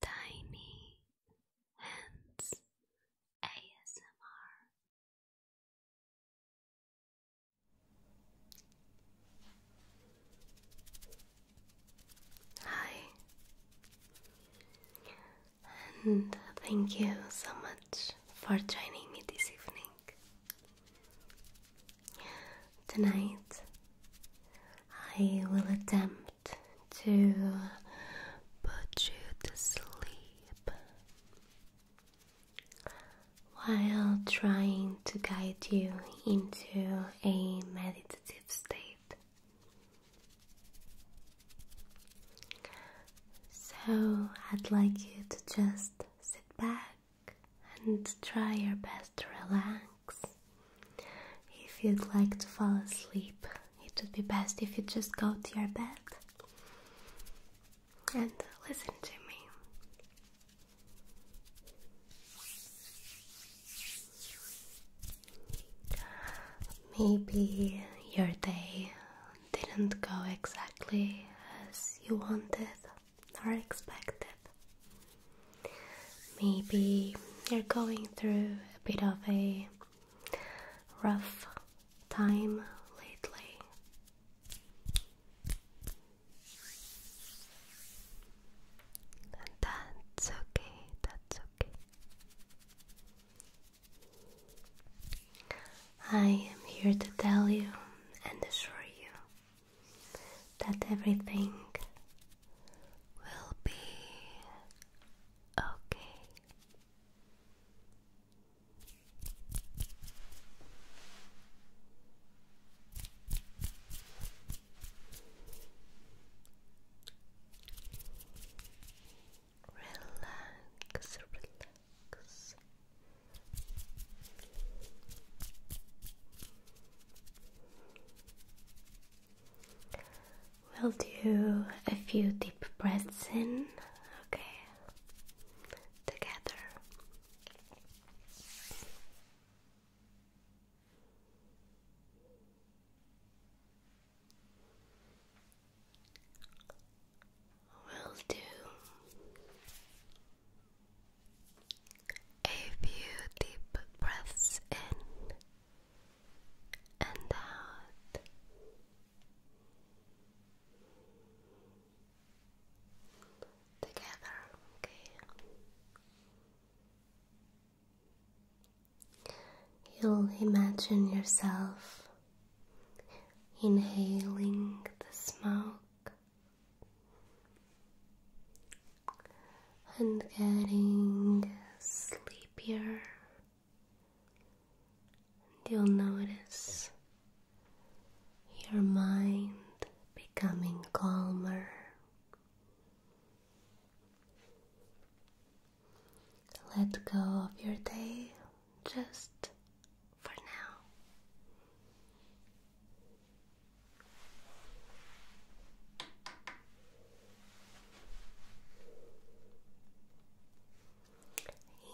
Tiny Hands ASMR. Hi, and thank you so much for joining me this evening. Tonight, I will attempt to put you to sleep while trying to guide you into a meditative state. So, I'd like you to just sit back and try your best to relax. If you'd like to fall asleep, it would be best if you just go to your bed and listen to me. Maybe your day didn't go exactly as you wanted or expected. Maybe you're going through a bit of a rough time lately. And that's okay, that's okay. I am here to tell you and assure you that everything will be Okay. Relax, relax. We'll do a few deep breaths in, okay, together. We'll do a few deep breaths in and out. Together, okay. You'll imagine yourself inhaling the smoke and getting sleepy happier. you'll notice your mind becoming calmer. Let go of your day just for now.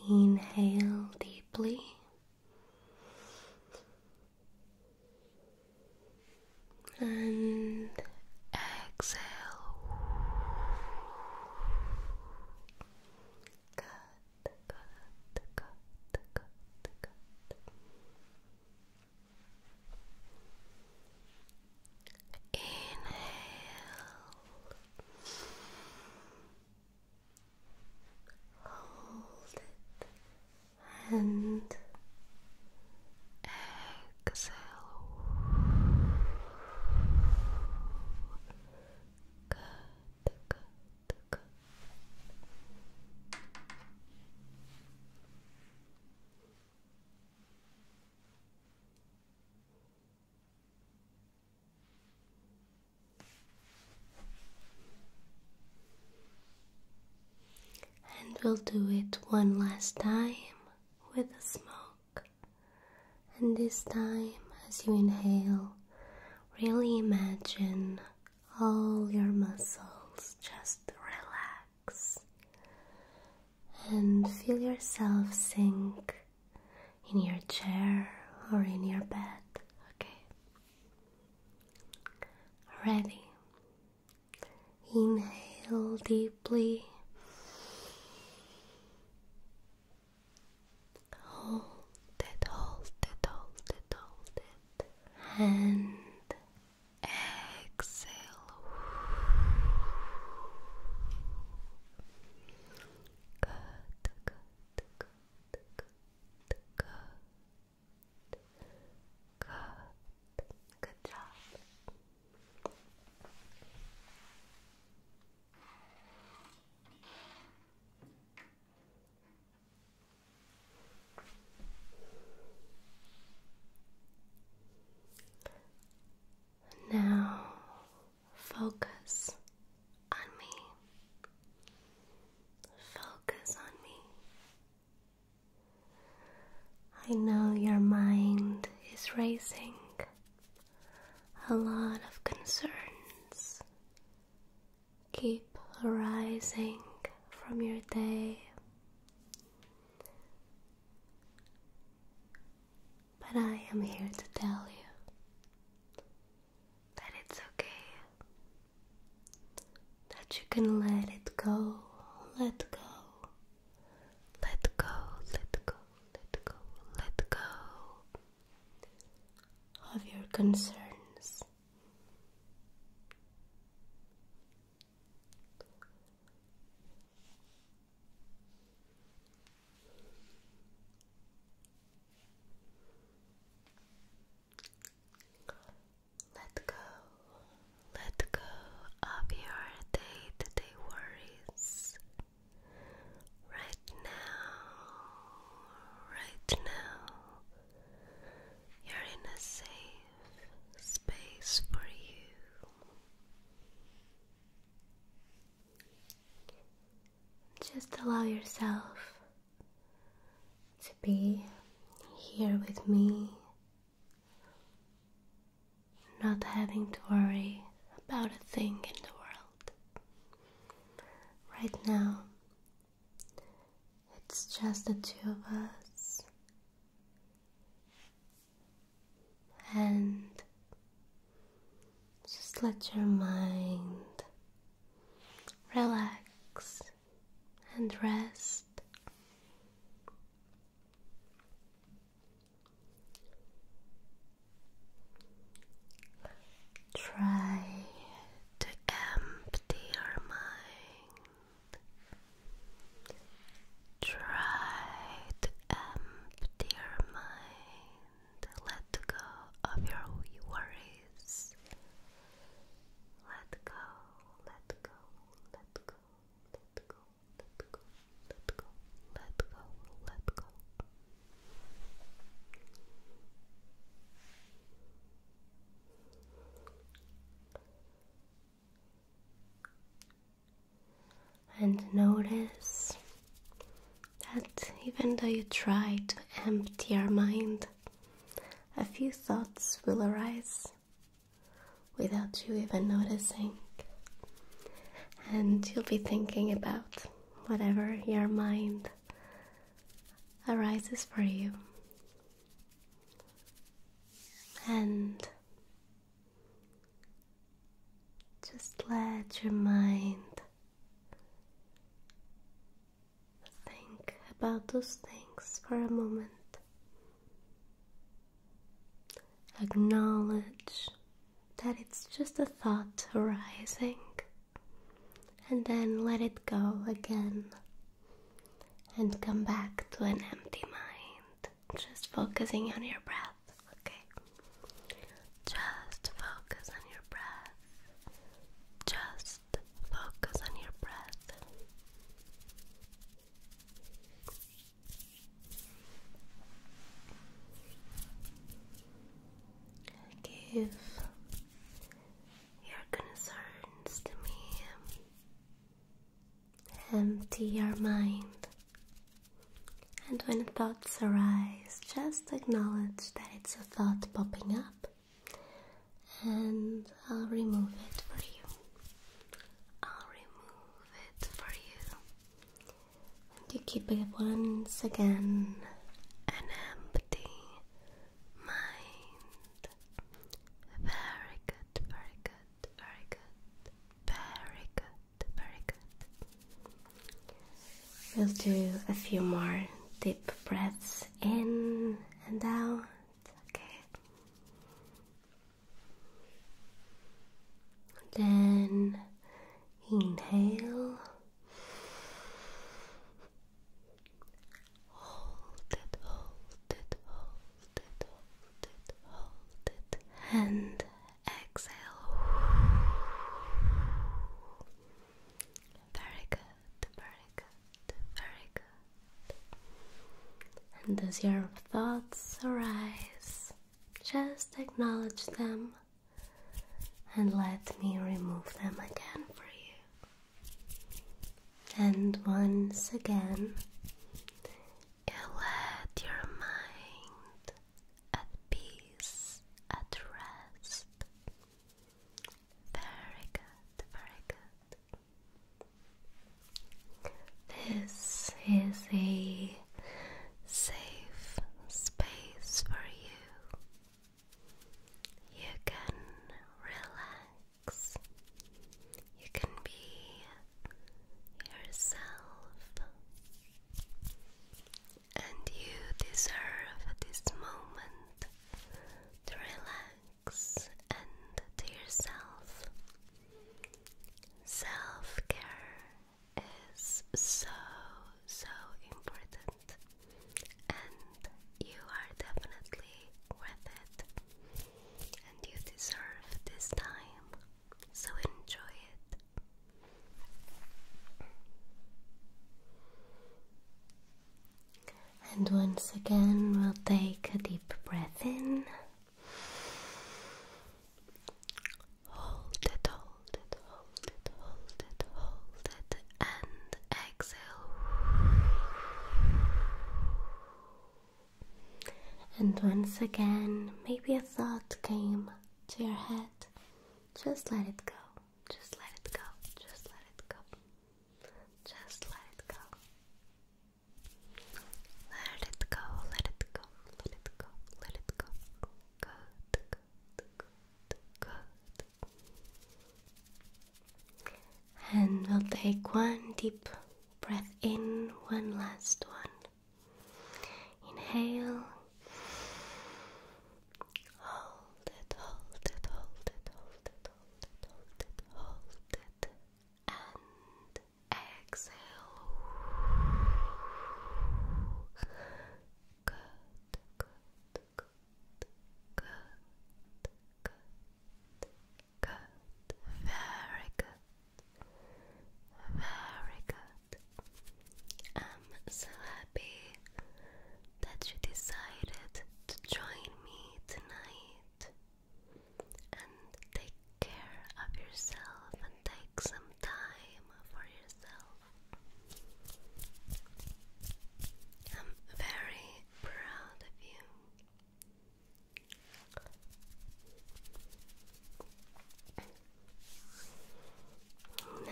Inhale deeply. And exhale. Good, good, good, good, good. Inhale. Hold it and exhale. Good, good, good. And we'll do it one last time with the smoke. And this time, as you inhale, really imagine all your muscles just relax and feel yourself sink in your chair or in your bed, okay? Ready. Inhale deeply. Hold it, hold it, hold it, hold it. And exhale. Good, good, good, good, good. Good. Good job. Now focus on me. Focus on me. I know your mind is racing. A lot of concerns keep arising from your day. But I am here to tell you that it's okay. That you can let it go, let go, let go, let go, let go, let go of your concerns. Let go, let go of your day to day worries right now, right now. You're in a safe space for you. Just allow yourself to be here with me, not having to worry about a thing in the world. Right now, it's just the two of us and just let your mind relax and rest. Try to empty your mind. Try Empty your mind. Let go of your worries. Let go, let go, let go, let go, let go, let go, let go, let go. And notice that even though you try to empty your mind, a few thoughts will arise without you even noticing. And you'll be thinking about whatever your mind arises for you. And just let your mind think about those things for a moment. Acknowledge that it's just a thought arising and then let it go again and come back to an empty mind just focusing on your breath, okay? Just focus on your breath. Just focus on your breath. Give your concerns to me. Empty your mind and when thoughts arise, just acknowledge that it's a thought popping up, and I'll remove it for you. I'll remove it for you. And you keep it once again an empty mind. Very good, very good, very good. Very good, very good. We'll do a few more deep breaths in and out. Okay. Then inhale. Hold it, hold it, hold it, hold it, hold it, and Exhale. Very good, very good, very good. And as your thoughts arise, just acknowledge them and let me remove them again for you. And once again, let your mind at peace, at rest. Very good, very good. This is a safe space for you. You can relax. You can be yourself and you deserve this moment to relax and to yourself. Self care is so, so important, and you are definitely worth it, and you deserve this time so enjoy it. And once again, we'll take a deep breath in. Hold it, hold it, hold it, hold it, hold it, and exhale. And once again, maybe a thought came to your head. Just let it go. Just let it go. Just let it go. Just let it go. Let it go. Let it go. Let it go. Let it go. Good. Good. Good. Good. And we'll take one deep breath in, one last one. Inhale. Hold it, hold it, hold it, hold it, hold it, hold it, hold it, and exhale. Good, good, good, good, good, good, very good, very good. I'm so happy that you decided to join me tonight. And take care of yourself and take some time for yourself. I'm very proud of you.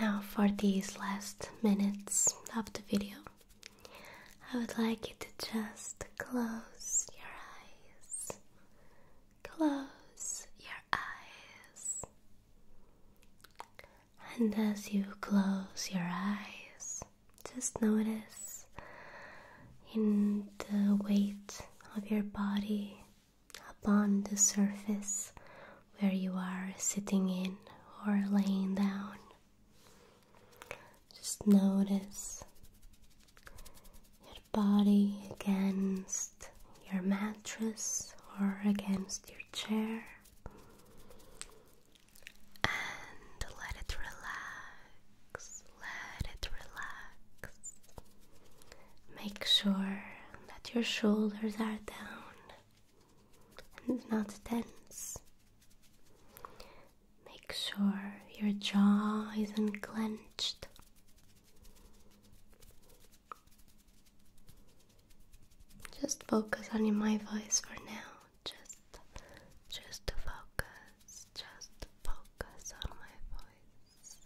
Now, for these last minutes of the video, I would like you to just close your eyes. Close your eyes. And as you close your eyes, just notice in the weight of your body upon the surface where you are sitting in or laying down. Just notice your body against your mattress or against your chair. And let it relax, let it relax. Make sure that your shoulders are down and not tense. Make sure your jaw isn't clenched. Just focus on my voice for now. Just just focus. Just focus on my voice.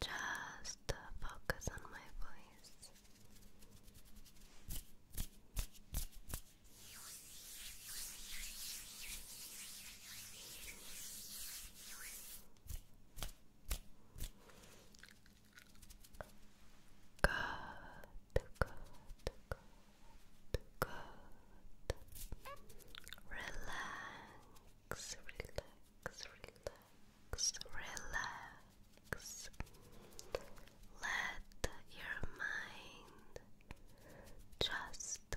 Just focus on my voice. Good, good, good, good. Relax, relax, relax relax. Let your mind just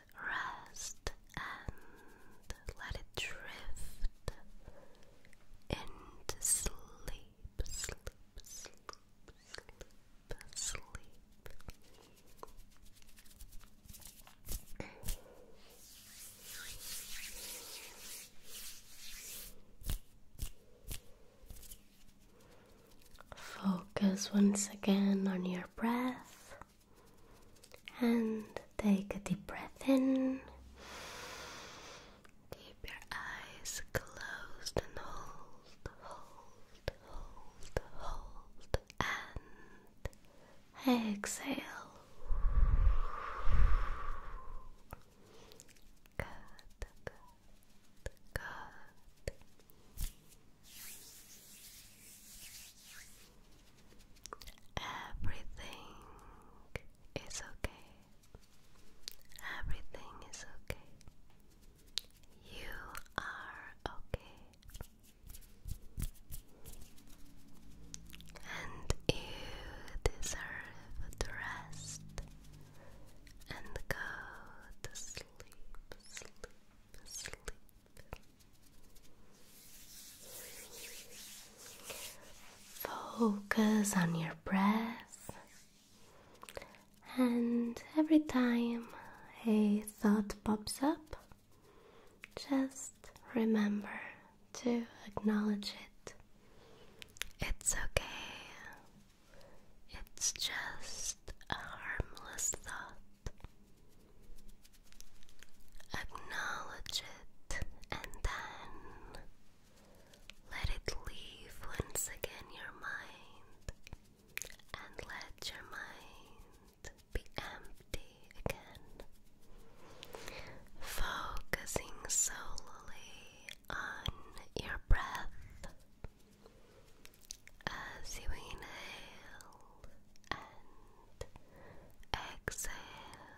rest and let it drift into sleep, Focus once again on your breath and take a deep breath in. Keep your eyes closed and hold, hold, hold, hold, and exhale. Good, Everything is okay. Everything is okay. You are okay. And you deserve to rest and go to sleep, sleep, sleep. Focus on your breath, and every time a thought pops up, just remember to acknowledge it. It's okay. It's just a harmless thought. Acknowledge it and then let it leave once again your mind and let your mind be empty again focusing solely on your breath as you inhale and exhale.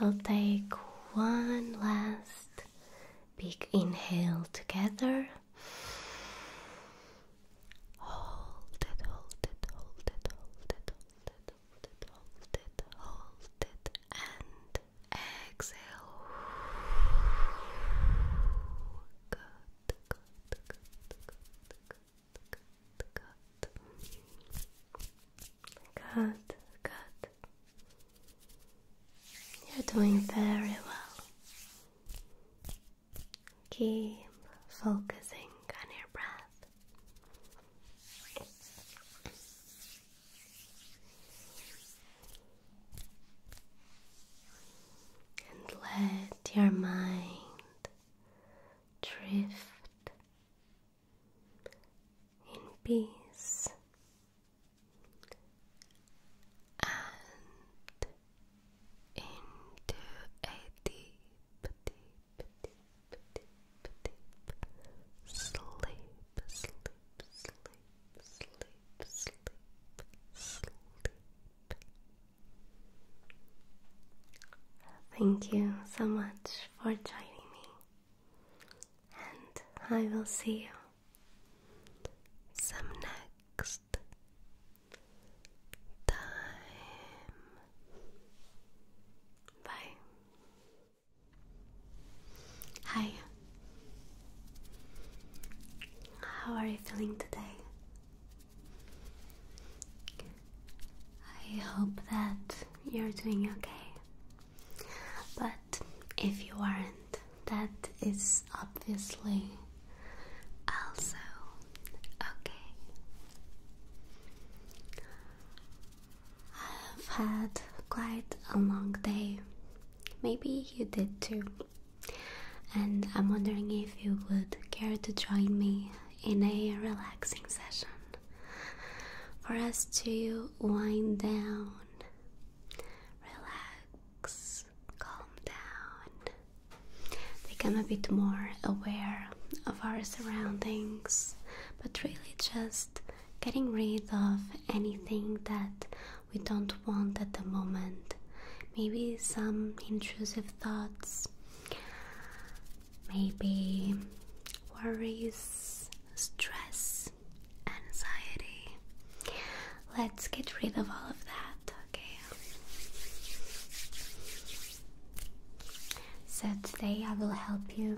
we'll take one last big inhale together. Hold it, hold it, hold it, hold it, hold it, it, hold it, hold it, and exhale. Good, good, good, good, good, good, good, good. You're doing very well. Keep focusing on your breath. And let your mind drift in peace and into a deep, sleep, sleep, sleep, sleep, sleep, sleep. Thank you so much for joining me, and I will see you some next time. Bye. Hi. How are you feeling today? I hope that you're doing okay. But if you aren't, that is obviously also okay. I've had quite a long day. Maybe you did too. And I'm wondering if you would care to join me in a relaxing session for us to wind down, relax, calm down, become a bit more aware of our surroundings, but really just getting rid of anything that we don't want at the moment. Maybe some intrusive thoughts, maybe worries, stress, anxiety. Let's get rid of all of that, okay? So, today I will help you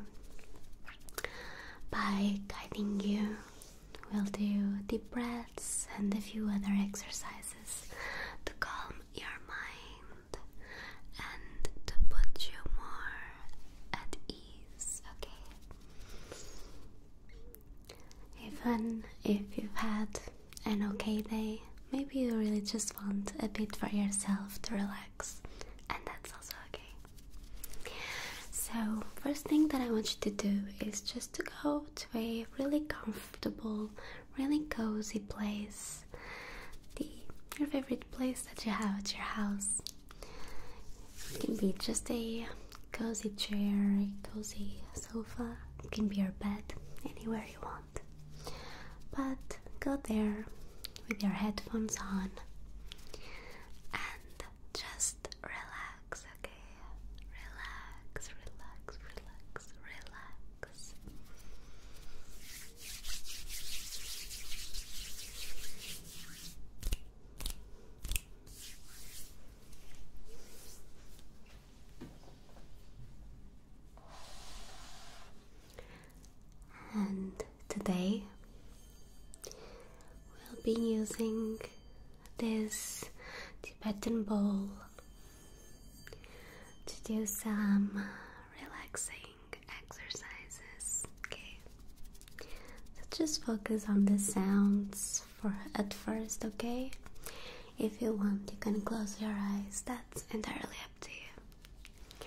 by guiding you, we'll do deep breaths and a few other exercises to calm your mind and to put you more at ease, okay? Even if you've had an okay day, maybe you really just want a bit for yourself to relax and that's also okay. So, first thing that I want you to do is just to go to a really comfortable, really cozy place. The your favorite place that you have at your house. It can be just a cozy chair, a cozy sofa, it can be your bed, anywhere you want. But go there, with your headphones on and just relax, okay? Relax, relax, relax, relax and today we'll be using this Tibetan bowl to do some relaxing exercises. Okay, so just focus on the sounds for at first, okay? If you want, you can close your eyes, that's entirely up to you.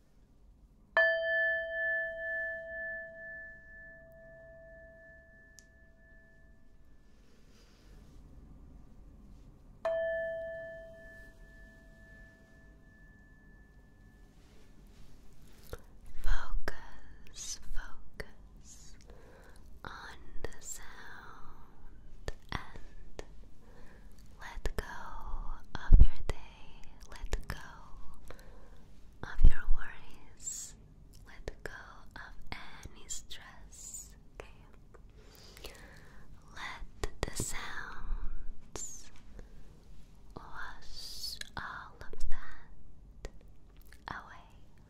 Focus, focus on the sound and let go of your thinking let go of your worries, let go of any stress. let the sounds wash all of that away.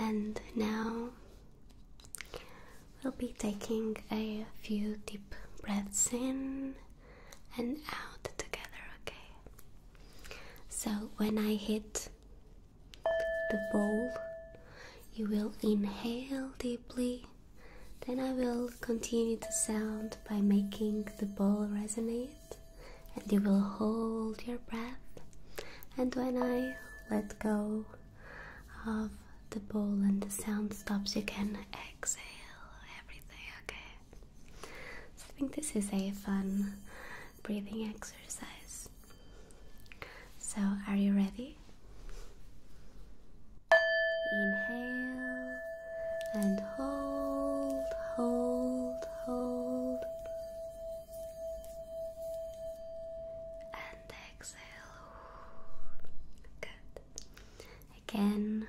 And now we'll be taking a few deep breaths in and out together, okay? So when I hit the ball, you will inhale deeply. Then I will continue the sound by making the ball resonate, and you will hold your breath. And when I let go of the ball and the sound stops, you can exhale everything, okay? I think this is a fun breathing exercise. So, are you ready? Inhale and hold, hold, hold. And exhale. Good. Again.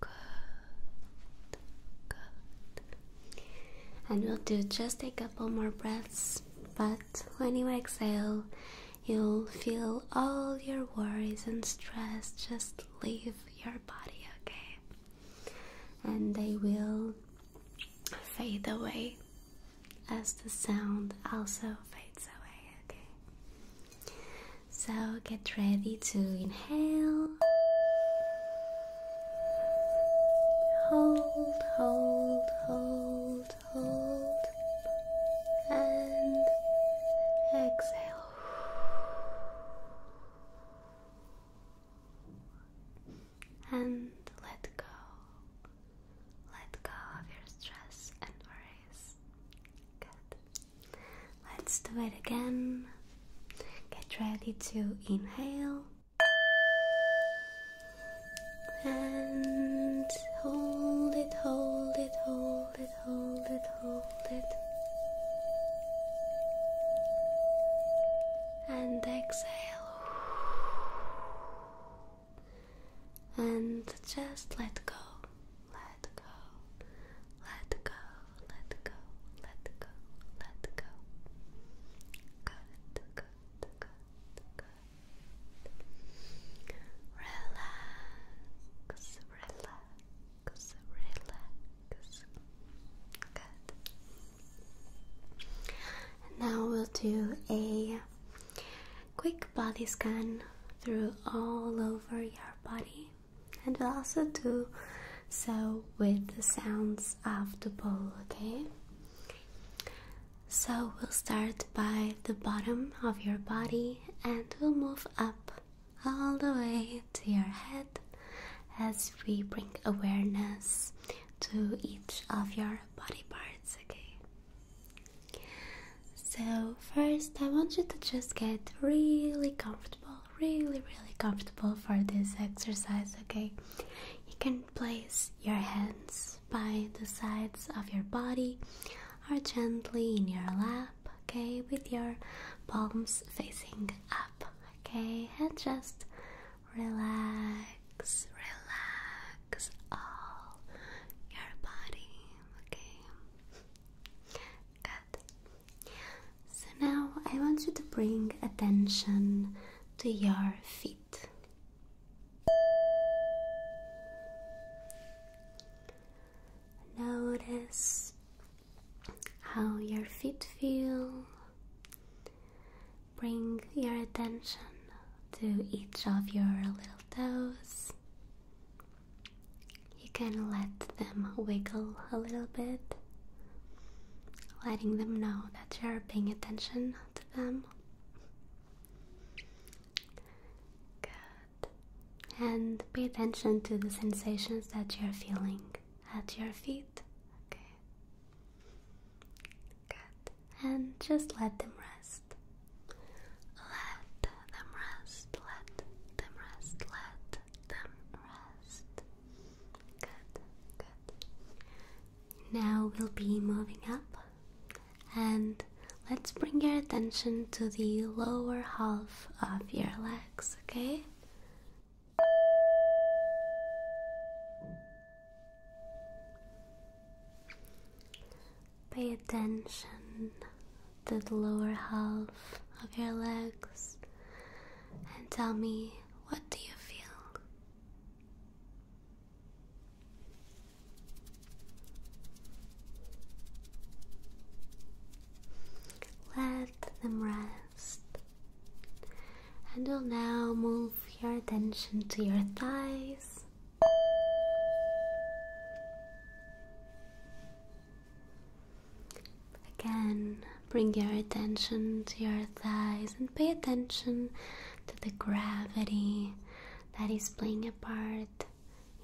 Good. Good. And we'll do just a couple more breaths, but when you exhale, you'll feel all your worries and stress just leave your body, okay? And they will fade away as the sound also fades away, okay? So get ready to inhale, hold, hold, hold, hold, and exhale. And let go. Let go of your stress and worries. Good. Let's do it again. Get ready to inhale and hold it, hold it, hold it, hold it, hold it, and exhale. And just let go let go, let go, let go, let go, let go. Good, good, good, good. Relax, relax, relax. Good. now we'll do a quick body scan through all over your body and we'll also do so with the sounds of the bowl, okay? So we'll start by the bottom of your body and we'll move up all the way to your head as we bring awareness to each of your body parts, okay? So, first, I want you to just get really comfortable really, really comfortable for this exercise, okay? You can place your hands by the sides of your body or gently in your lap, okay? With your palms facing up, okay? And just relax, relax all your body, okay? Good. So now I want you to bring attention to your feet. Notice how your feet feel. Bring your attention to each of your little toes you can let them wiggle a little bit, letting them know that you're paying attention to them. Good. And pay attention to the sensations that you're feeling at your feet. Good. And just let them rest. Let them rest. Let them rest. Let rest. Good, good. Now we'll be moving up and let's bring your attention to the lower half of your legs, okay? Pay attention the lower half of your legs and tell me what do you feel? Let them rest. And we will now move your attention to your thighs. Again, bring your attention to your thighs and pay attention to the gravity that is playing a part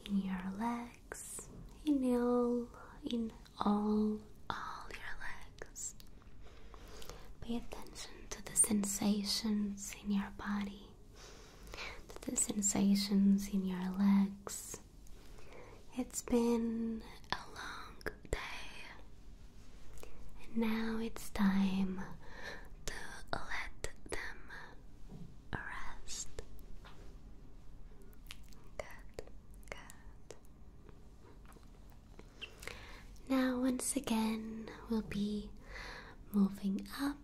in your legs, in all, in all, all your legs. Pay attention to the sensations in your body, to the sensations in your legs, it's been a long day, and now it's time to let them rest. Good, good. Now, once again, we'll be moving up.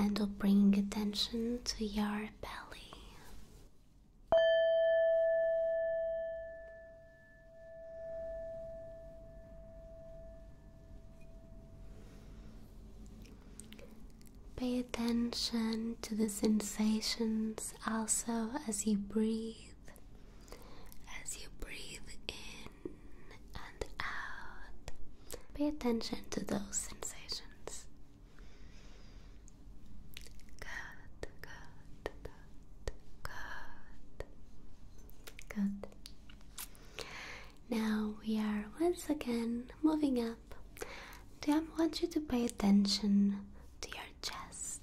And will bring attention to your belly. Pay attention to the sensations also as you breathe, as you breathe in and out. Pay attention to those sensations. Good, good, good, good, good. Now we are once again moving up. Do I want you to pay attention to your chest?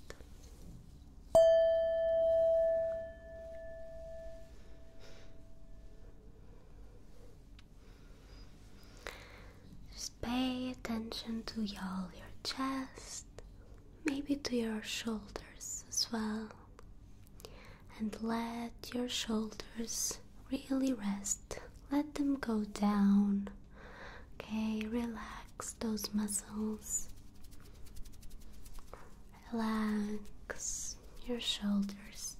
Just pay attention to all your chest, maybe to your shoulders as well, and let your shoulders really rest. Let them go down. Okay, relax those muscles. Relax your shoulders.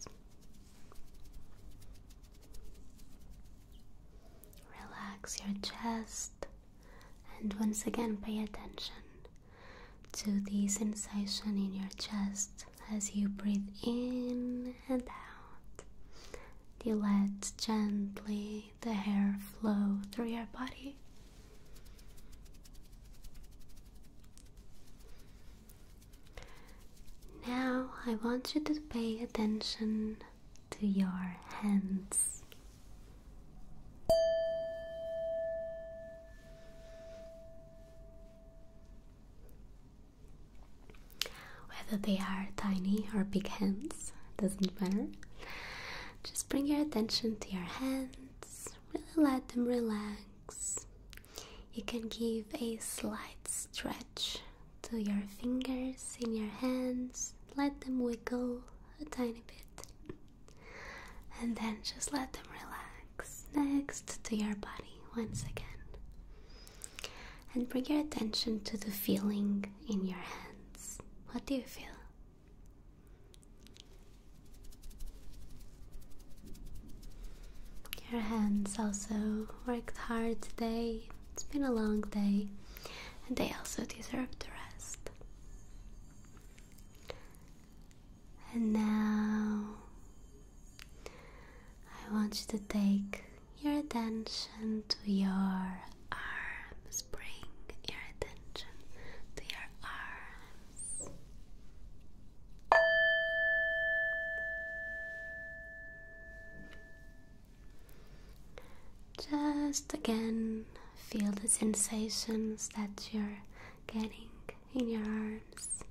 Relax your chest and once again pay attention to the sensation in your chest as you breathe in and out. You let gently the hair flow through your body. Now I want you to pay attention to your hands. Whether they are tiny or big hands, doesn't matter. Just bring your attention to your hands, really let them relax. You can give a slight stretch to your fingers in your hands, let them wiggle a tiny bit, and then just let them relax next to your body once again. And bring your attention to the feeling in your hands. What do you feel? Your hands also worked hard today it's been a long day, and they also deserve the rest. And now I want you to take your attention to your arms. Bring your attention to your arms. Just again, feel the sensations that you're getting in your arms.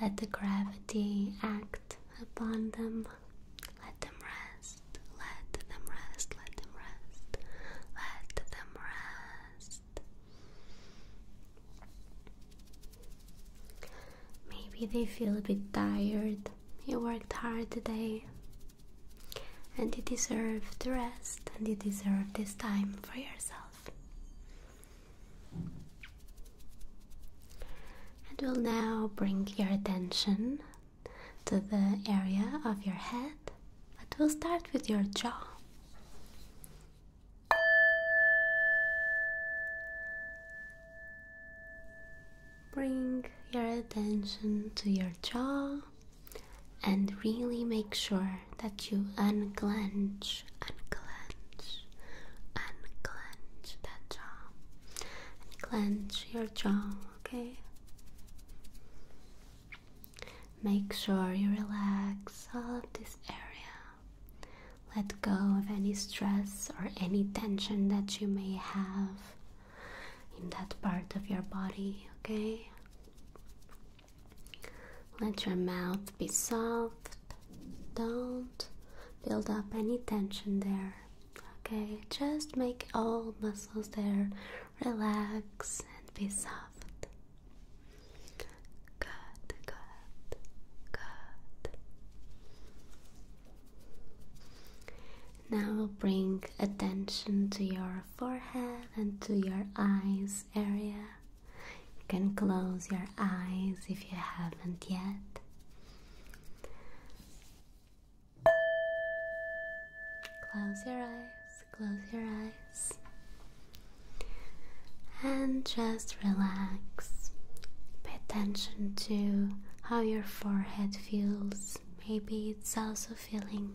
Let the gravity act upon them. Let them rest. Let them rest. Let them rest. Let them rest. Maybe they feel a bit tired you worked hard today and you deserve to rest and you deserve this time for yourself. And we'll now bring your attention to the area of your head, but we'll start with your jaw. Bring your attention to your jaw and really make sure that you unclench, unclench, unclench that jaw. Clench your jaw, okay? Make sure you relax all of this area. Let go of any stress or any tension that you may have in that part of your body, okay? Let your mouth be soft. Don't build up any tension there. Okay, just make all muscles there relax and be soft. Good, good, good. Now bring attention to your forehead and to your eyes area. You can close your eyes if you haven't yet. Close your eyes, close your eyes, and just relax. Pay attention to how your forehead feels maybe it's also feeling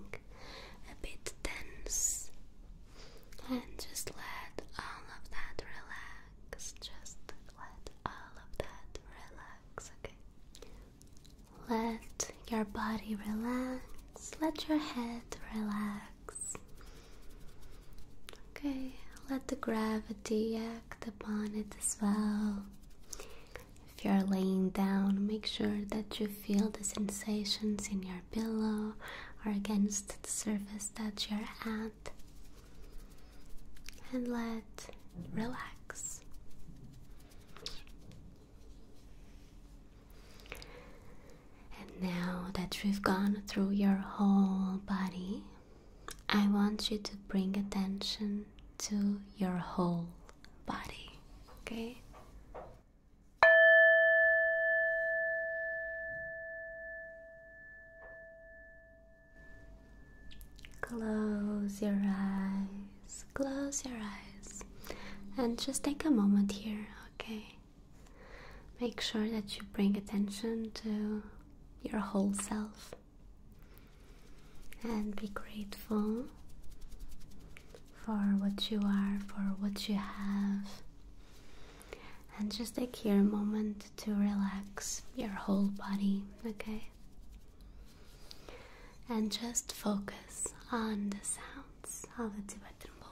a bit tense. And just let all of that relax. Just let all of that relax, okay? Let your body relax. Let your head relax. Okay, let the gravity act upon it as well. If you're laying down, make sure that you feel the sensations in your pillow or against the surface that you're at. And let relax. And now that we've gone through your whole body, I want you to bring attention to your whole body. Okay? Close your eyes, close your eyes, and just take a moment here, okay? Make sure that you bring attention to your whole self and be grateful for what you are, for what you have. And just take here a moment to relax your whole body, okay? And just focus on the sounds of the Tibetan bowl.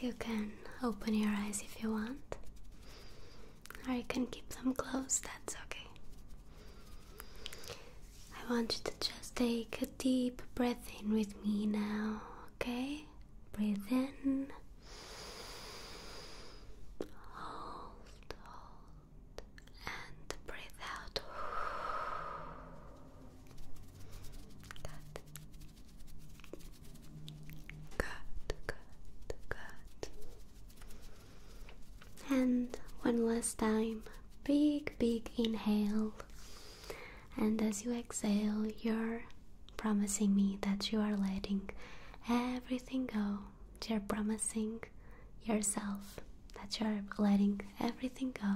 You can open your eyes if you want, or you can keep them closed, that's okay. I want you to just take a deep breath in with me now, okay? Breathe in. Hold, hold, and breathe out. Good. Good, good, good. And one last time, big, big inhale. And as you exhale, you're promising me that you are letting everything go. You're promising yourself that you're letting everything go.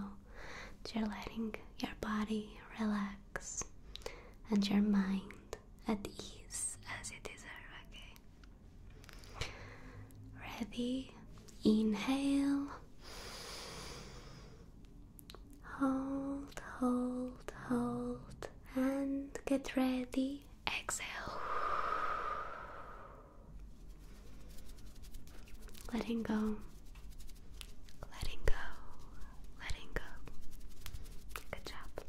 You're letting your body relax and your mind at ease as you deserve, okay? Ready? Inhale. Hold, hold, hold, and get ready. Exhale. Letting go Letting go, letting go. Good job.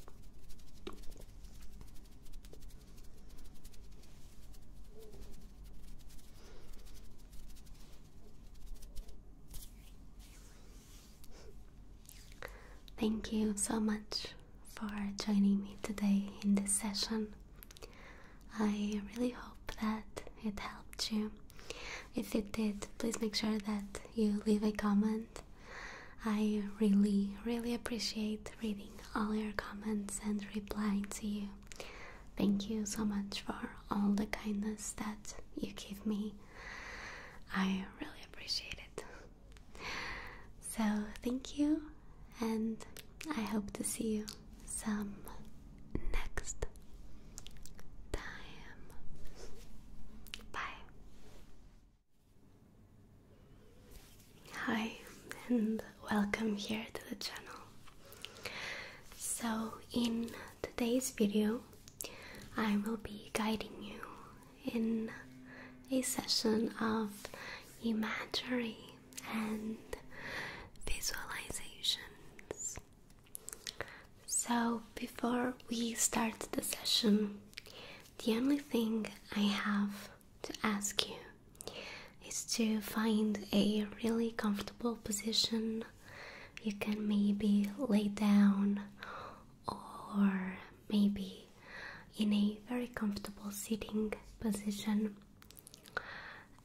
Thank you so much for joining me today in this session. I really hope that it helped you. If it did, please make sure that you leave a comment. I really, really appreciate reading all your comments and replying to you. Thank you so much for all the kindness that you give me. I really appreciate it. So, thank you, and I hope to see you some next time. Bye. Hi, and welcome here to the channel. So, in today's video, I will be guiding you in a session of imagery and visualizations. So, before we start the session, the only thing I have to ask you is to find a really comfortable position. You can maybe lay down or maybe in a very comfortable sitting position,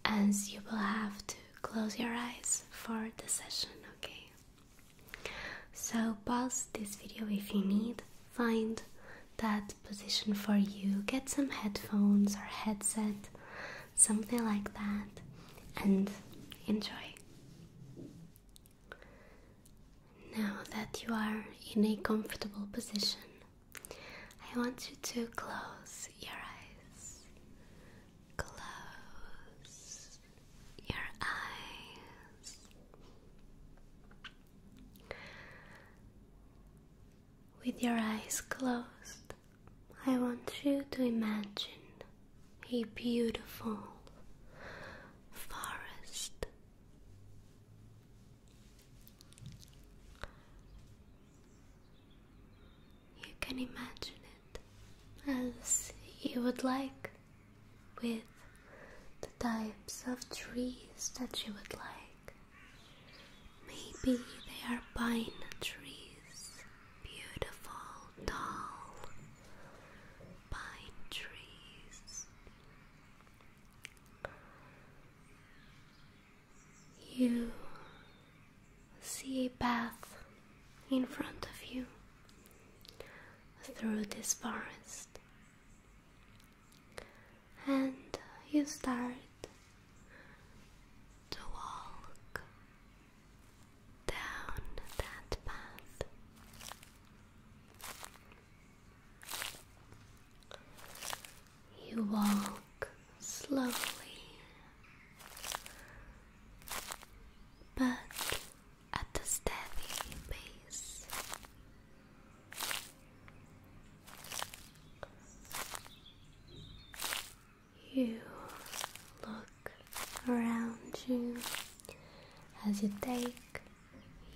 as you will have to close your eyes for the session, okay? So, pause this video if you need, find that position for you, get some headphones or headset, something like that, and enjoy. Now that you are in a comfortable position, I want you to close your eyes. Close your eyes. With your eyes closed, I want you to imagine a beautiful forest. You can imagine it as you would like with the types of trees that you would like. Maybe they are pine trees, beautiful, tall pine trees. You see a path in front of you through this forest and you start to walk down that path. You walk slowly but at a steady pace. You look around you as you take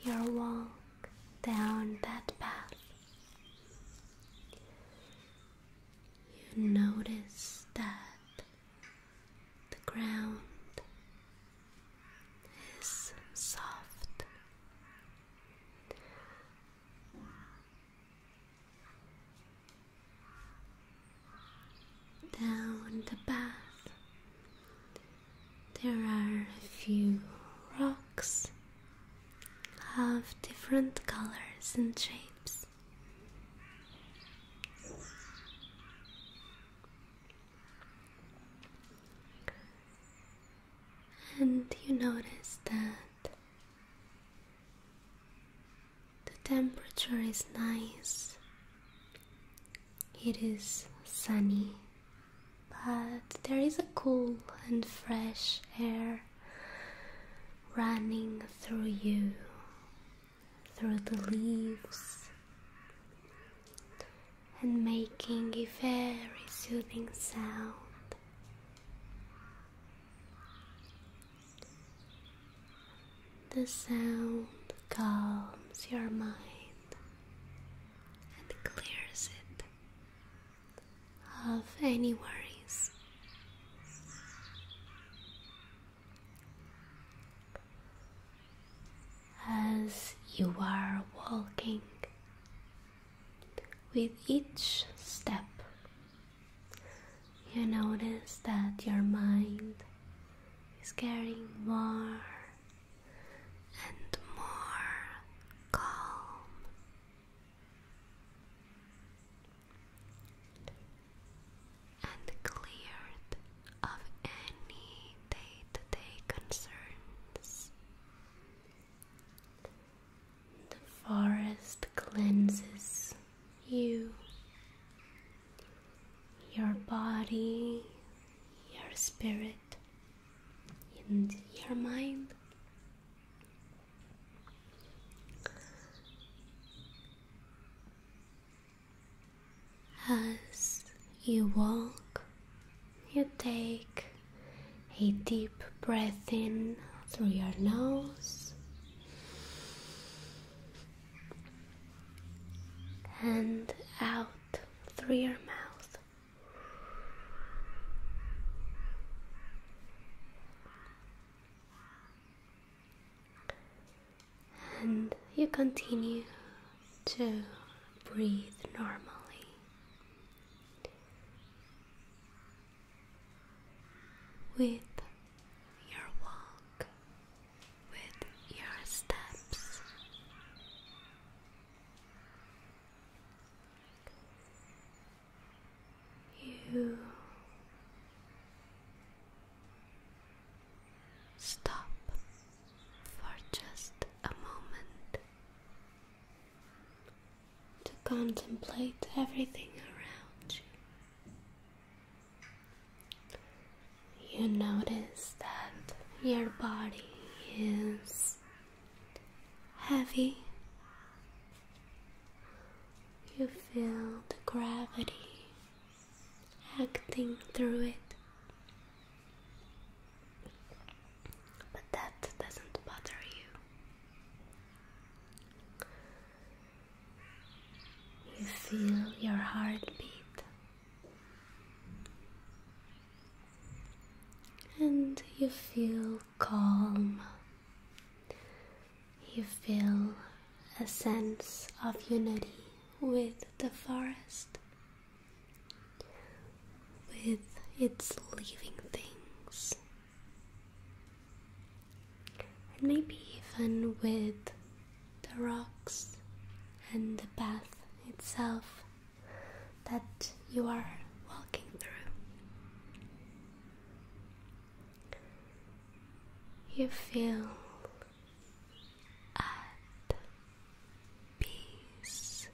your walk down that path. You notice that the ground is soft. Down the path, there are a few rocks of different colors and shapes. And you notice that the temperature is nice, it is sunny, but there is a cool and fresh air running through you through the leaves and making a very soothing sound. The sound calms your mind and clears it of any worries as you are walking with each step. You notice that your mind is getting more and more calm and cleared of any day to day concerns. The forest cleanses you, your body, your spirit, and your mind. As you walk, you take a deep breath in through your nose and out through your mouth and you continue to breathe normally. With your walk, with your steps, you Stop for just a moment to contemplate everything around you. You notice that your body is heavy. You feel the gravity acting through it. But that doesn't bother you. You feel your heartbeat, and you feel calm. You feel a sense of unity with the forest, with its living things, and maybe even with the rocks and the path itself that you are walking through. You feel and peace.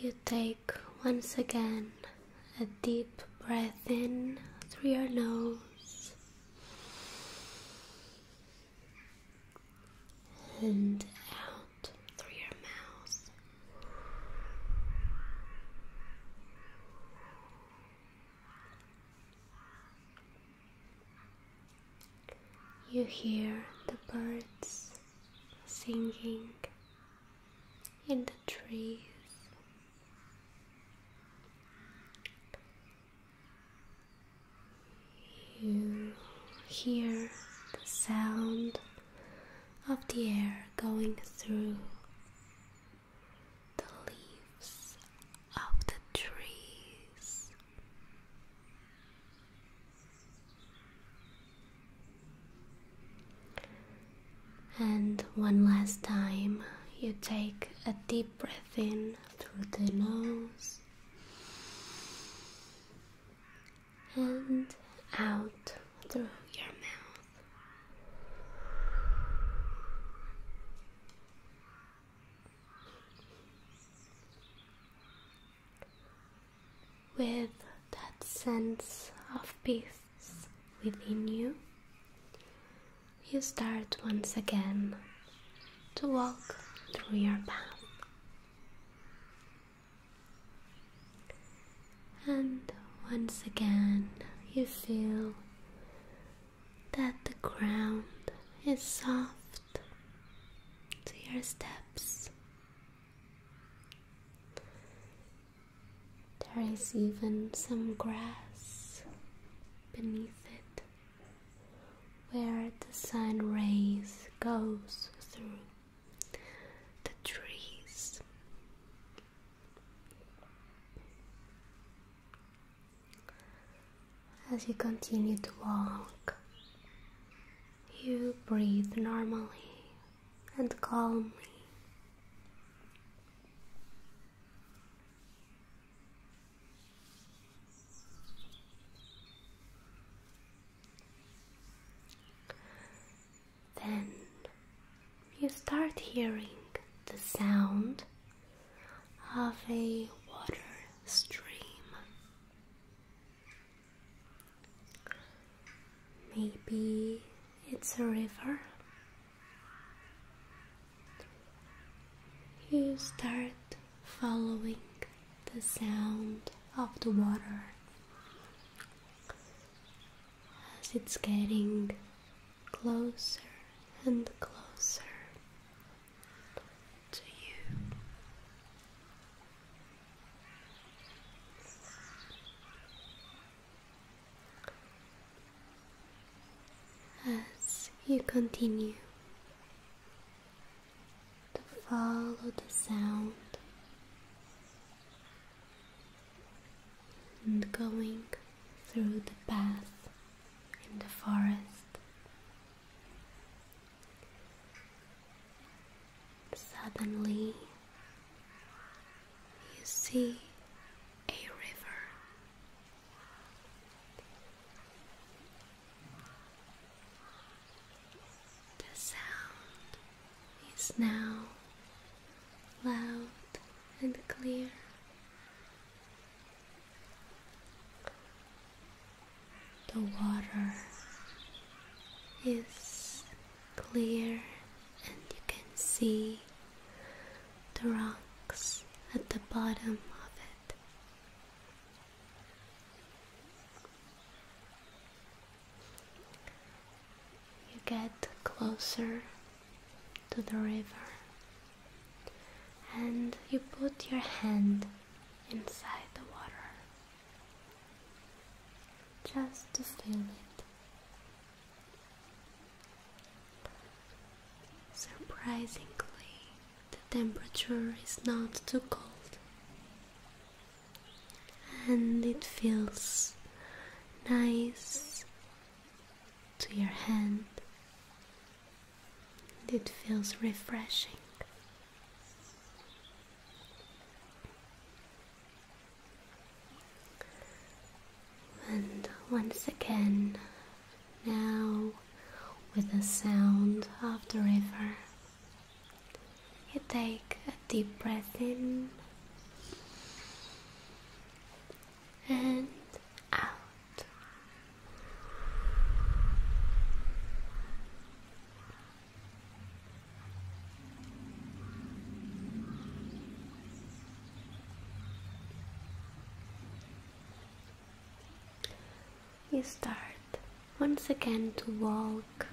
You take once again a deep breath in through your nose and out through your mouth. You hear the birds singing in the trees. You hear the sound of the air going through the leaves of the trees. And one last time, you take a deep breath in through the nose and out through your mouth. With that sense of peace within you, you start once again to walk through your path. And once again, you feel that the ground is soft to your steps. There is even some grass beneath it where the sun rays goes through the trees. As you continue to walk, you breathe normally and calmly. Then you start hearing the sound of a water stream. Maybe it's a river. You start following the sound of the water as it's getting closer and closer to you. As you continue to follow the sound and going through the path in the forest. Suddenly, you see a river. The sound is now loud and clear. The water is clear, and you can see the rocks at the bottom of it. You get closer to the river and you put your hand inside the water just to feel it. Surprisingly, the temperature is not too cold and it feels nice to your hand. It feels refreshing. And once again, now with the sound of the river. You take a deep breath in and out. You start once again to walk.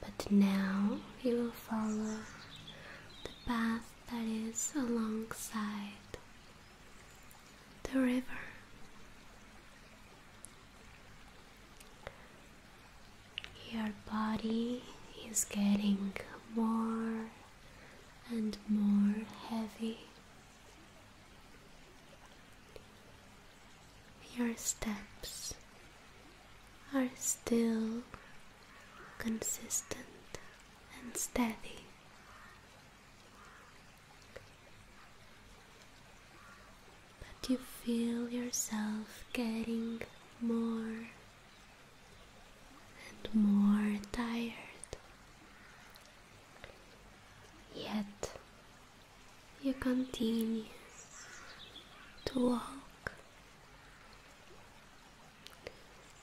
But now you will follow the path that is alongside the river. Your body is getting more and more heavy. Your steps are still consistent and steady. But you feel yourself getting more and more tired Yet you continue to walk,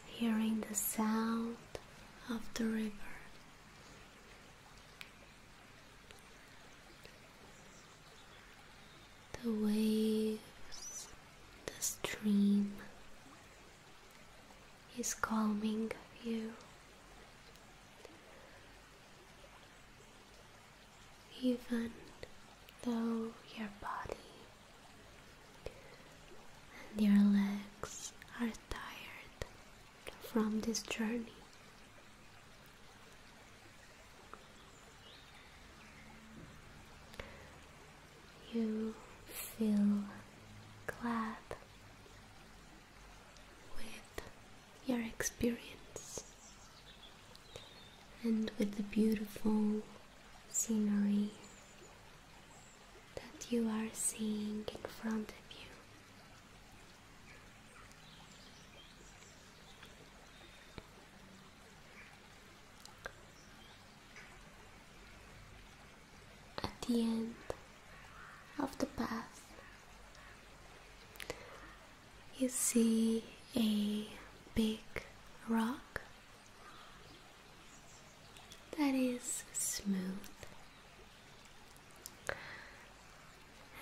hearing the sound of the river. The waves, the stream, is calming you. Even though your body and your legs are tired from this journey, you feel glad with your experience and with the beautiful scenery that you are seeing in front of you at the end of the path. You see a big rock that is smooth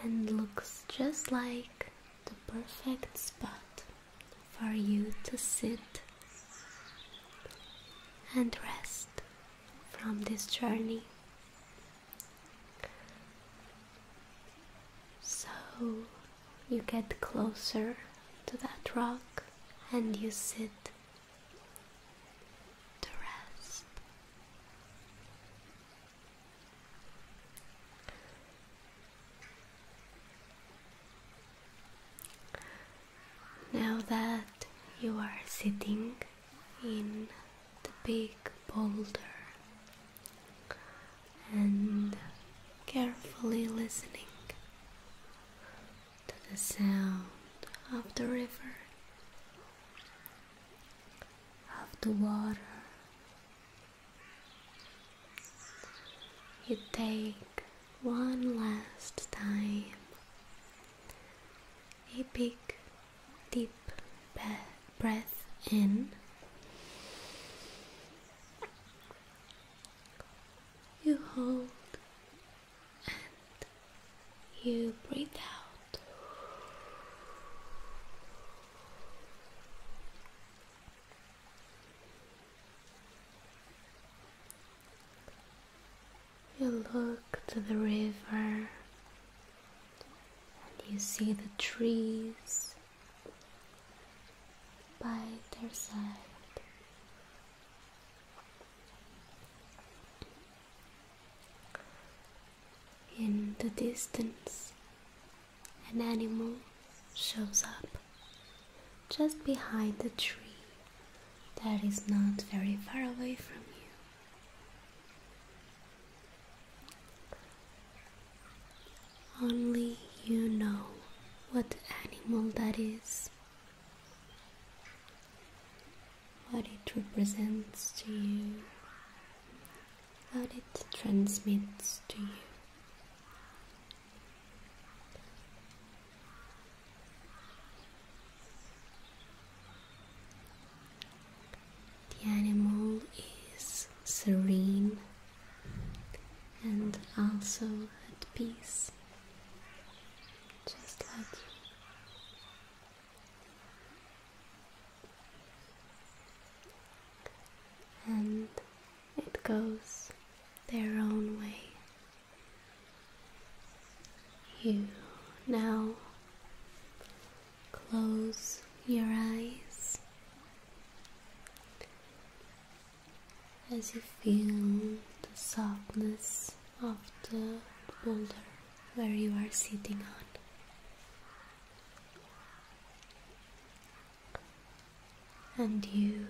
and looks just like the perfect spot for you to sit and rest from this journey. So you get closer to that rock and you sit to rest. Now that you are sitting in the big boulder and carefully listening to the sound of the river, of the water. You take one last time a big deep breath in. You hold and you breathe out. You look to the river and you see the trees by their side. In the distance, an animal shows up just behind the tree that is not very far away from you. Only you know what animal that is, what it represents to you, what it transmits to you. The animal is serene and also at peace, just like you. And it goes their own way. You now Close your eyes as you feel the softness of the boulder where you are sitting on. And you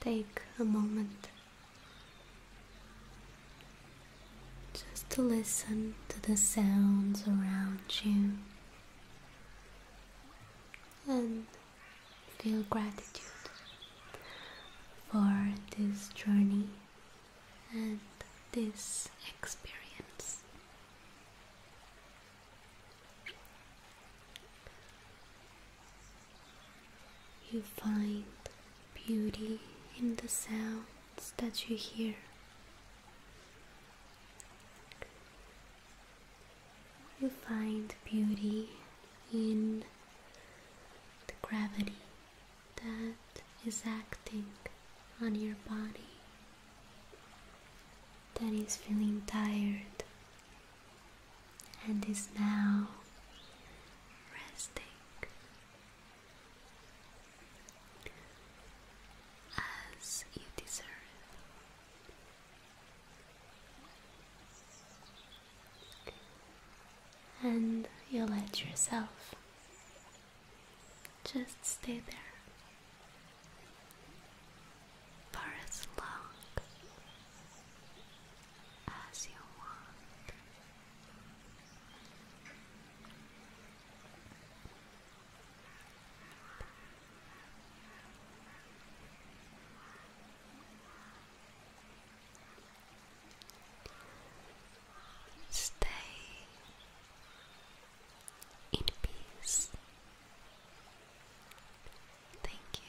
take a moment just to listen to the sounds around you and feel gratitude for this journey and this experience. You find beauty in the sound statue here. You find beauty in the gravity that is acting on your body that is feeling tired and is now resting as you deserve. And you let yourself just stay there for as long as you want. Stay in peace. Thank you.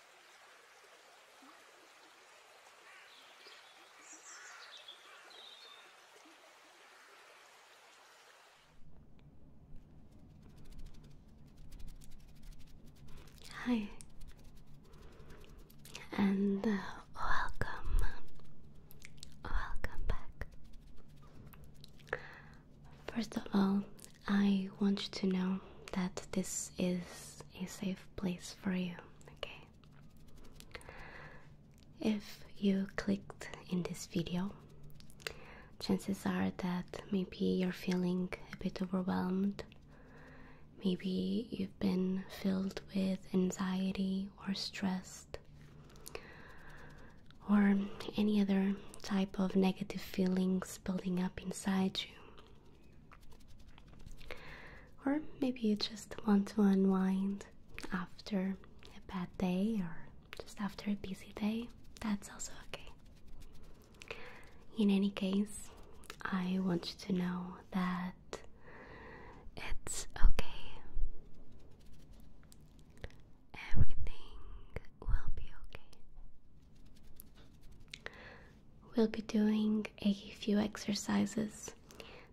Hi, and uh, welcome, welcome back. First of all, I want you to know that this is a safe place for you, okay? If you clicked in this video, chances are that maybe you're feeling a bit overwhelmed. Maybe you've been filled with anxiety or stressed or any other type of negative feelings building up inside you. Or maybe you just want to unwind after a bad day or just after a busy day. That's also okay. In any case, I want you to know that it's okay. Everything will be okay we'll be doing a few exercises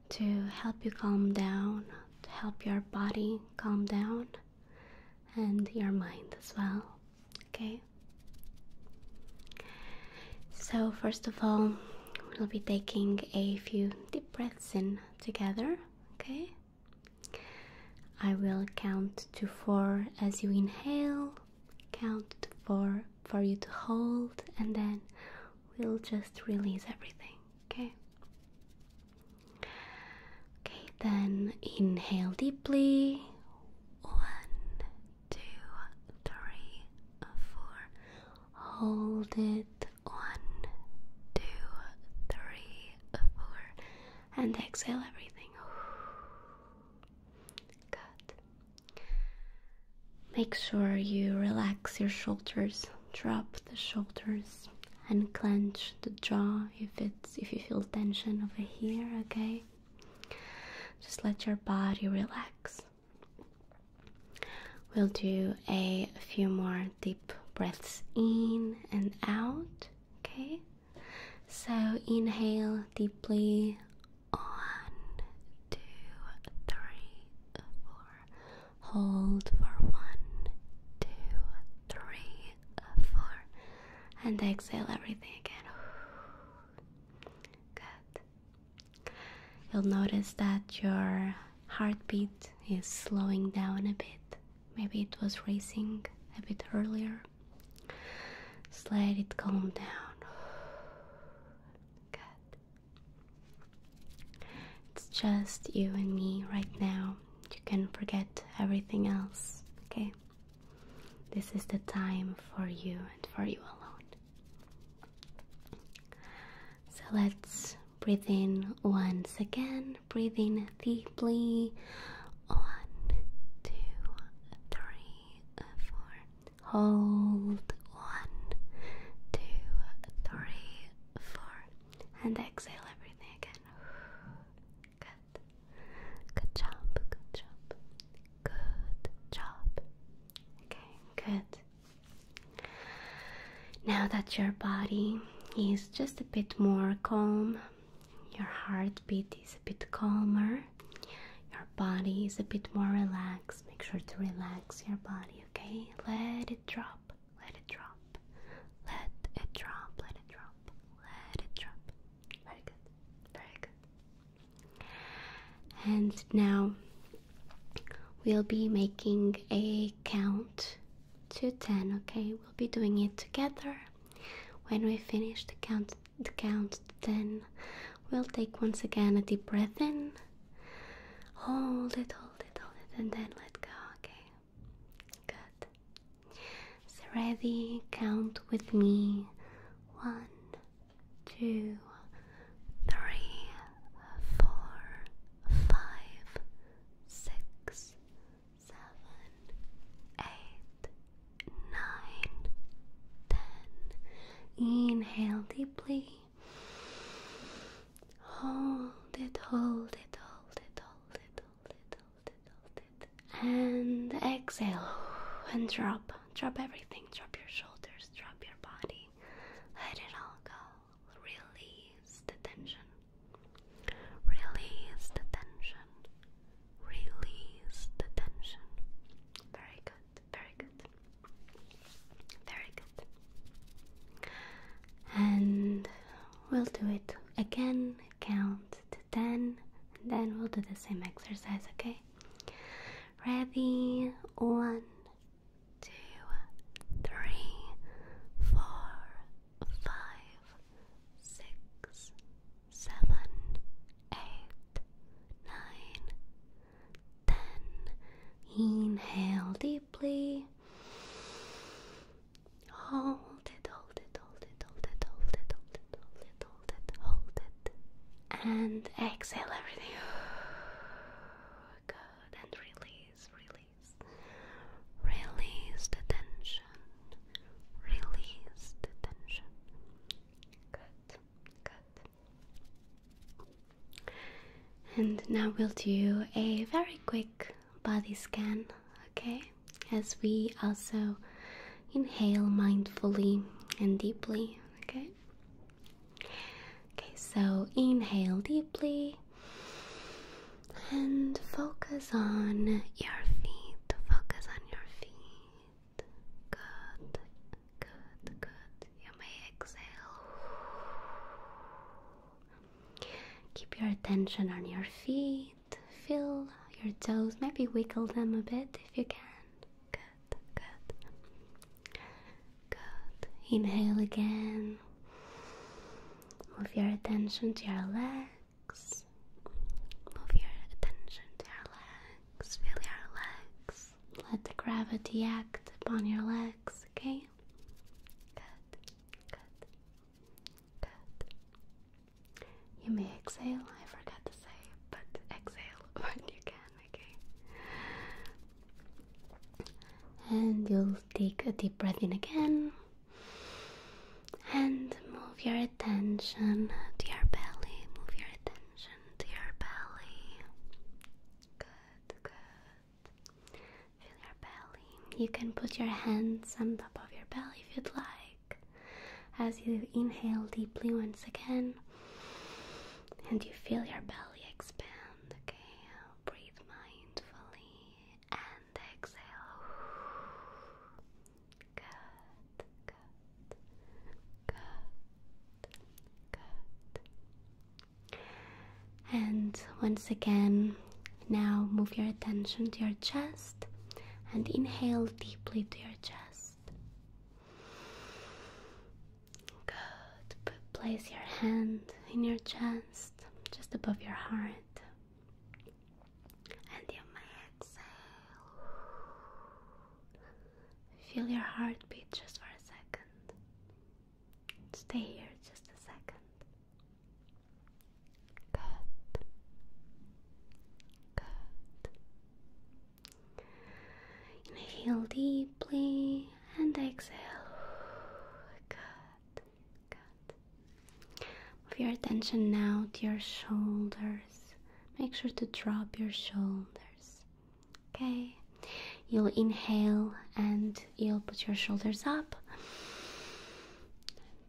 to help you calm down, to help your body calm down, and your mind as well. Okay? So, first of all, we'll be taking a few deep breaths in together. Okay? I will count to four as you inhale, count to four for you to hold, and then we'll just release everything, okay? Okay, then inhale deeply. One, two, three, four. Hold it. One, two, three, four. And exhale everything. Good. Make sure you relax your shoulders, drop the shoulders, and clench the jaw if it's if you feel tension over here, okay? Just let your body relax. We'll do a few more deep breaths in and out, okay? So inhale deeply one, two, three, four. Hold for one, two, three, four. And exhale everything again. Good. You'll notice that your heartbeat is slowing down a bit. Maybe it was racing a bit earlier. Just let it calm down. It's just you and me right now. You can forget everything else, okay? This is the time for you and for you alone. So let's breathe in once again. Breathe in deeply. One, two, three, four, Hold one, two, three, four, and exhale everything again. Good. Good job. Good job. Good job. Okay, good. Now that your body is just a bit more calm, your heartbeat is a bit calmer. Your body is a bit more relaxed. Make sure to relax your body, okay? Let it drop. Let it drop. Let it drop. Let it drop. Let it drop. Very good. Very good. And now we'll be making a count to 10, okay? We'll be doing it together. When we finish the count count ten. We'll take once again a deep breath in. Hold it, hold it, hold it, and then let go. Okay. Good. So ready, count with me. One, two, three, four, five, six, seven, eight, nine, ten. Inhale deeply. Hold it, hold it, hold it, hold it, hold it, hold it, hold it. And exhale and drop. Drop everything. Drop your shoulders, drop your body. Let it all go. Release the tension. Release the tension. Release the tension. Very good very good, very good. And we'll do it again, count to 10, and then we'll do the same exercise, okay? Ready? One, two, three, four, five, six, seven, eight, nine, then inhale deeply. Hold it, hold it, hold it, hold it, hold it, hold it, hold it, hold it, hold it. And exhale everything. Good. And release, release. Release the tension. Release the tension. Good, good. And now we'll do a very quick body scan, okay? As we also inhale mindfully and deeply, okay? Okay, so inhale deeply and focus on your feet. Focus on your feet good, good, good. You may exhale. Keep your attention on your feet. Feel your toes. Maybe wiggle them a bit if you can. Good, good. Good. Inhale again. Move your attention to your legs. Move your attention to your legs. Feel your legs. Let the gravity act upon your legs, okay? Good, good, good. You may exhale, I forgot to say, but exhale when you can, okay? And you'll take a deep breath in again and move your attention to your belly, move your attention to your belly. Good, good. Feel your belly. You can put your hands on top of your belly if you'd like. As you inhale deeply once again, and you feel your belly expand. Okay, breathe mindfully and exhale. Good, good. Good. Good. And once again, now move your attention to your chest and inhale deeply to your chest. Good. place your hand in your chest, just above your heart. And you may exhale. Feel your heartbeat just for a second. Stay here just a second. Good. Good. Inhale deeply and exhale. Good. Good. Move your attention now to your shoulders. Make sure to drop your shoulders. Okay, you'll inhale and you'll put your shoulders up.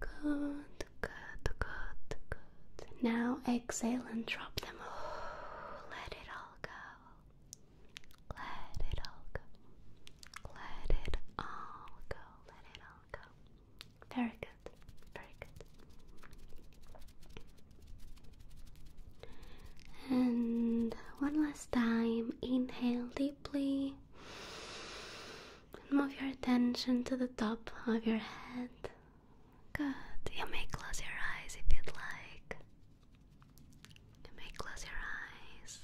Good, good, good, good. Now exhale and drop them. Let it all go. Let it all go. Let it all go. Let it all go. Very good. Very good. And one last time, inhale deeply and move your attention to the top of your head. Good. You may close your eyes if you'd like. You may close your eyes.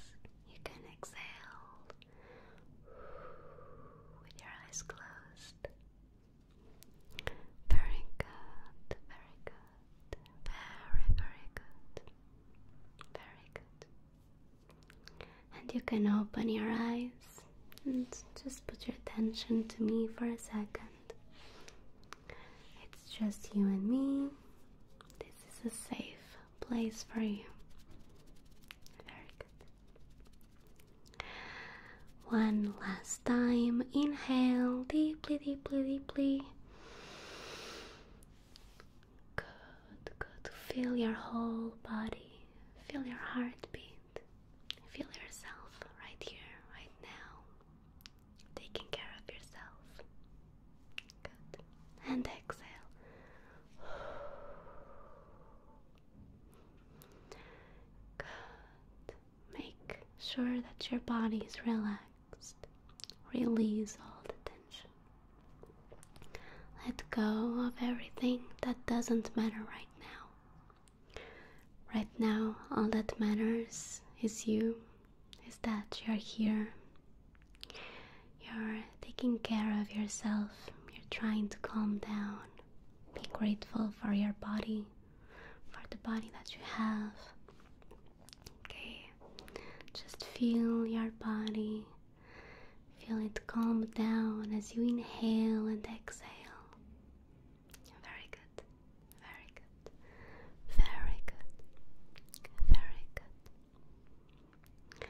You can exhale with your eyes closed. Very good, very good. Very, very good. Very good. And you can open your eyes and just put your attention to me for a second. It's just you and me. This is a safe place for you. Very good. One last time. Inhale deeply, deeply, deeply. Good, good. Feel your whole body. Feel your heartbeat. Feel yourself right here, right now. Taking care of yourself. Good. And exhale. Good. Make sure that your body is relaxed. Release all the tension. Let go of everything that doesn't matter right now. Right now, all that matters is you, is that you're here. You're taking care of yourself, you're trying to calm down. Be grateful for your body, for the body that you have. Okay, just feel your body, feel it calm down as you inhale and exhale. Very good, very good, very good, very good.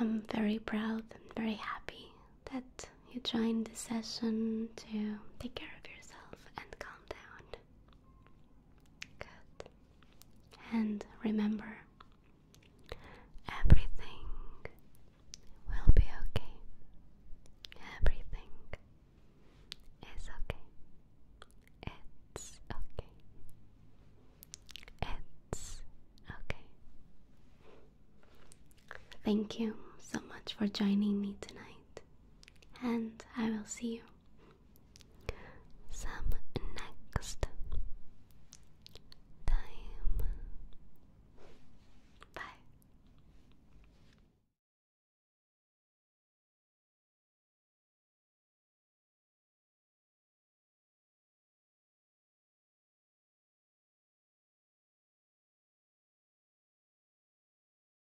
I'm very proud and very happy that you joined this session to take care of yourself and calm down. Good. And remember, everything will be okay. Everything is okay. It's okay. It's okay. Thank you so much for joining me tonight and I will see you some next time. Bye.